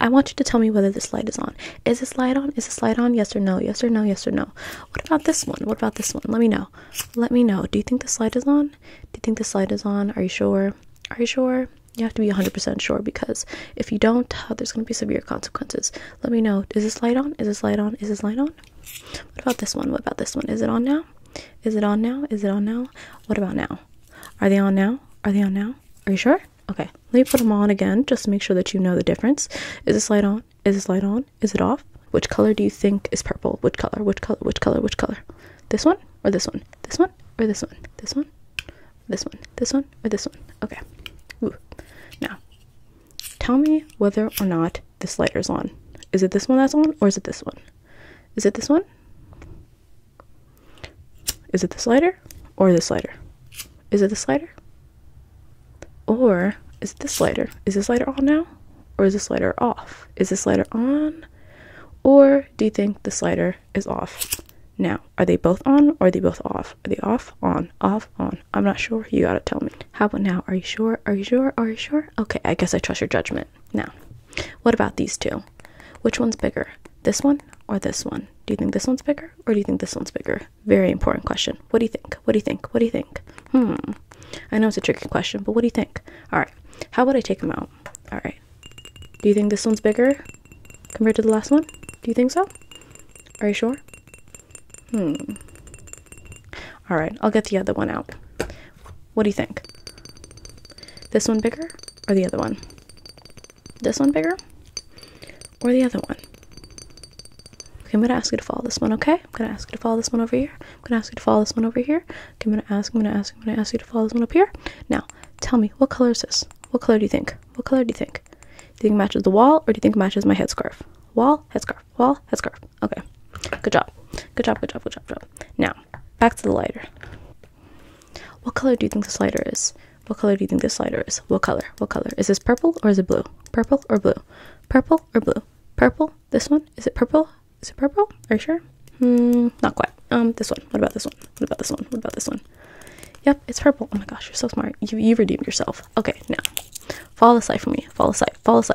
I want you to tell me whether this light is on. Is this light on? Is this light on? Yes or no? Yes or no? Yes or no? What about this one? What about this one? Let me know. Let me know. Do you think this light is on? Do you think this light is on? Are you sure? Are you sure? You have to be 100% sure because if you don't, uh, there's going to be severe consequences. Let me know. Is this light on? Is this light on? Is this light on? What about this one? What about this one? Is it on now? Is it on now? Is it on now? What about now? now. Are they on now? Are they on now? Are you sure? Okay, let me put them on again just to make sure that you know the difference. Is this light on? Is this light on? Is it off? Which color do you think is purple? Which color? Which color? Which color? Which color? This one or this one? This one or this one? This one? This one? This one or this one? Okay. Ooh. Now, tell me whether or not this lighter's on. Is it this one that's on or is it this one? Is it this one? Is it this slider or this slider? Is it this slider Or is this slider? Is this slider on now? Or is this slider off? Is this slider on? Or do you think this slider is off? Now, are they both on or are they both off? Are they off, on, off, on? I'm not sure. You gotta tell me. How about now? Are you sure? Are you sure? Are you sure? Okay, I guess I trust your judgment. Now, what about these two? Which one's bigger? This one or this one? Do you think this one's bigger or do you think this one's bigger? Very important question. What do you think? What do you think? What do you think? Hmm. I know it's a tricky question, but what do you think? All right. How about I take them out? All right. Do you think this one's bigger compared to the last one? Do you think so? Are you sure? Hmm. All right. I'll get the other one out. What do you think? This one bigger or the other one? This one bigger or the other one? Okay, I'm gonna ask you to follow this one, okay? I'm gonna ask you to follow this one over here. I'm gonna ask you to follow this one over here. Okay, I'm gonna ask, I'm gonna ask, I'm gonna ask you to follow this one up here. Now, tell me, what color is this? What color do you think? What color do you think? Do you think matches the wall or do you think matches my headscarf? Wall, headscarf, wall, headscarf. Okay. Good job. Good job, good job, good job, good job. Now, back to the lighter. What color do you think this lighter is? What color do you think this lighter is? What color? What color? Is this purple or is it blue? Purple or blue? Purple or blue? Purple? This one? Is it purple? Is it purple? Are you sure? Hmm, not quite. Um, this one. What about this one? What about this one? What about this one? Yep, it's purple. Oh my gosh, you're so smart. You you redeemed yourself. Okay, now fall the light for me. Follow the Fall Follow the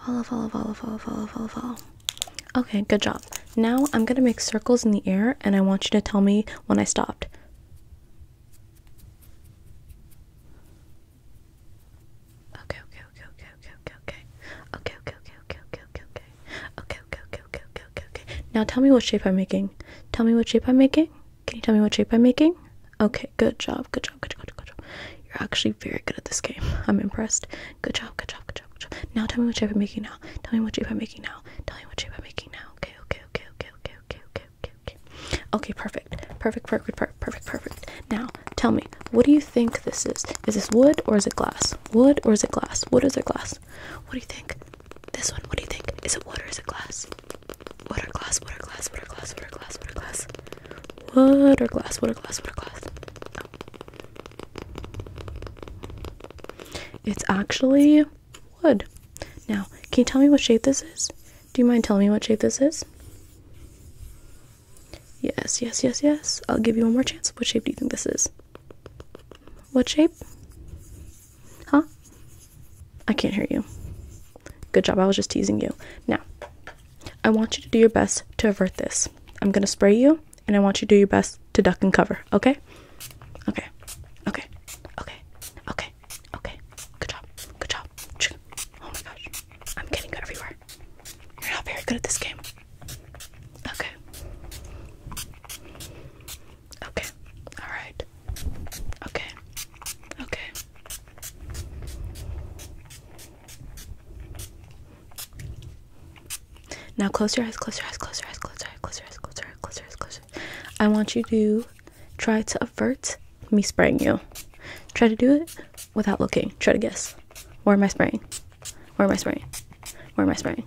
Follow, follow, follow, follow, follow, follow, follow. Okay, good job. Now I'm going to make circles in the air and I want you to tell me when I stopped. okay. Okay, okay, okay, okay, okay, okay, okay. Okay, okay, okay, okay, okay, okay, okay. Now tell me what shape I'm making. Tell me what shape I'm making. Can you tell me what shape I'm making? Okay, good job, good job, good job, good job, good job. You're actually very good at this game. I'm impressed. Good job, good job, good job, good job. Now tell me what shape I'm making now. Tell me what shape I'm making now. Tell me what shape I'm making now. Okay, okay, okay, okay, okay, okay, okay, okay, okay. Okay, perfect. Perfect, perfect, perfect, perfect, perfect. Now, tell me, what do you think this is? Is this wood or is it glass? Wood or is it glass? Wood or is it glass? What do you think? This one, what do you think? Is it wood or is it glass? Water glass, water glass, water glass, water glass, water glass. Water glass, water glass, water glass. Oh. It's actually wood. Now, can you tell me what shape this is? Do you mind telling me what shape this is? Yes, yes, yes, yes. I'll give you one more chance. What shape do you think this is? What shape? Huh? I can't hear you. Good job. I was just teasing you. Now, I want you to do your best to avert this. I'm going to spray you, and I want you to do your best to duck and cover, okay? Okay. Okay. Okay. Okay. Okay. Good job. Good job. Oh my gosh. I'm getting you everywhere. You're not very good at this game. Okay. Okay. All right. Okay. Okay. Now close your eyes, close your eyes, close your eyes, close your eyes, close your eyes, close your eyes, close your eyes, close your eyes. I want you to try to avert me spraying you. Try to do it without looking. Try to guess. Where am I spraying? Where am I spraying? Where am I spraying?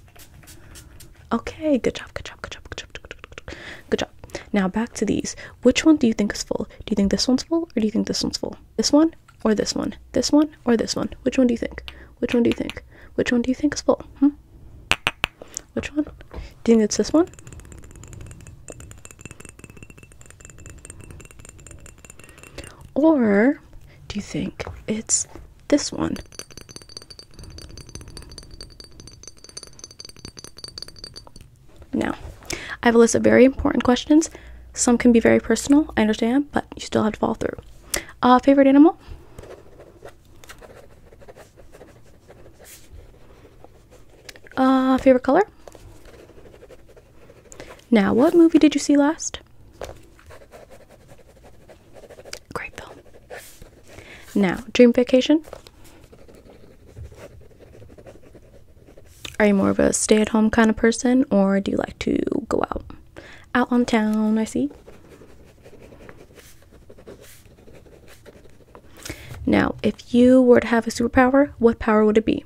Okay, good job, good job, good job, good job, good job, good job. Now back to these. Which one do you think is full? Do you think this one's full or do you think this one's full? This one or this one? This one or this one? Which one do you think? Which one do you think? Which one do you think is full? Hmm? Which one? Do you think it's this one? Or do you think it's this one. Now, I have a list of very important questions. Some can be very personal, I understand, but you still have to follow through. Uh, favorite animal? Uh, favorite color? Now, what movie did you see last? Great film. Now, dream vacation. Are you more of a stay at home kind of person or do you like to go out? Out on town, I see. Now, if you were to have a superpower, what power would it be?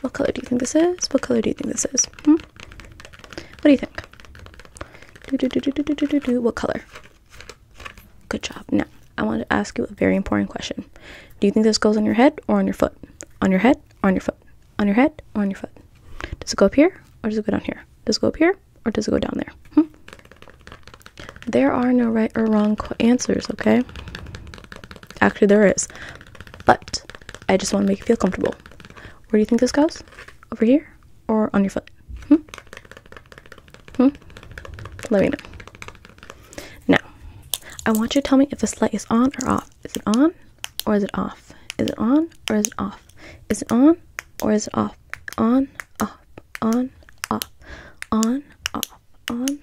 What color do you think this is? What color do you think this is? Hmm? What do you think? What color? Good job. Now, I want to ask you a very important question. Do you think this goes on your head or on your foot? On your head, on your foot. On your head, on your foot. Does it go up here or does it go down here? Does it go up here or does it go down there? Hmm? There are no right or wrong answers, okay? Actually, there is. But I just want to make you feel comfortable. Where do you think this goes? Over here? Or on your foot? Hmm? Hmm? Let me know. Now, I want you to tell me if this light is on or off. Is it on or is it off? Is it on or is it off? Is it on or is it off? On, off, on, off, on, off, on,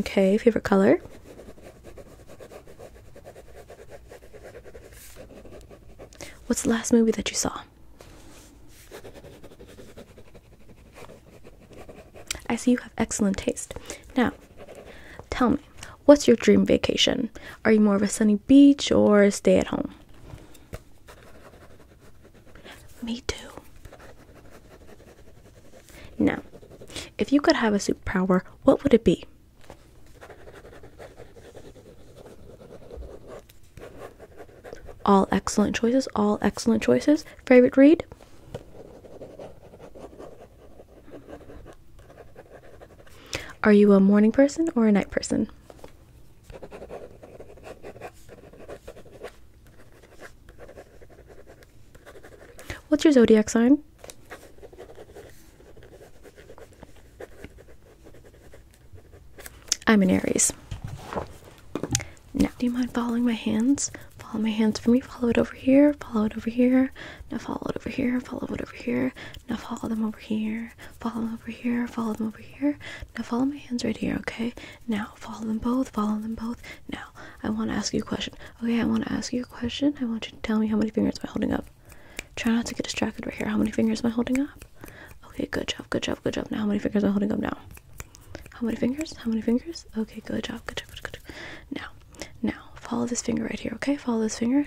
Okay, favorite color? What's the last movie that you saw? I see you have excellent taste. Now, tell me, What's your dream vacation? Are you more of a sunny beach or stay at home? Me too. Now, if you could have a superpower, what would it be? All excellent choices, all excellent choices. Favorite read? Are you a morning person or a night person? What's your zodiac sign? I'm an Aries. Now, do you mind following my hands? Follow my hands for me. Follow it over here. Follow it over here. Now follow it over here. Follow it over here. Now follow them over here. Follow them over here. Follow them over here. Now follow my hands right here, okay? Now follow them both. Follow them both. Now I want to ask you a question. Okay, I want to ask you a question. I want you to tell me how many fingers am I holding up. Try not to get distracted right here. How many fingers am I holding up? Okay, good job, good job, good job. Now how many fingers am I holding up now? How many fingers? How many fingers? Okay, good job, good job, good job. Good job. Now, now follow this finger right here, okay? Follow this finger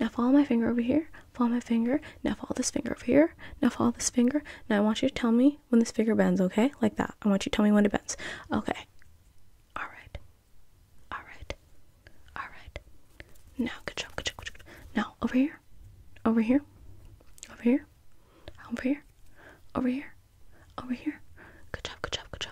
now follow my finger over here. Follow my finger. Now follow this finger over here. Now follow this finger. Now I want you to tell me when this finger bends, okay? Like that. I want you to tell me when it bends. Okay. Alright. Alright. Alright. Now good job, good job, good job. Now over here. Over here. Over here. Over here. Over here. Over here. Good job, good job, good job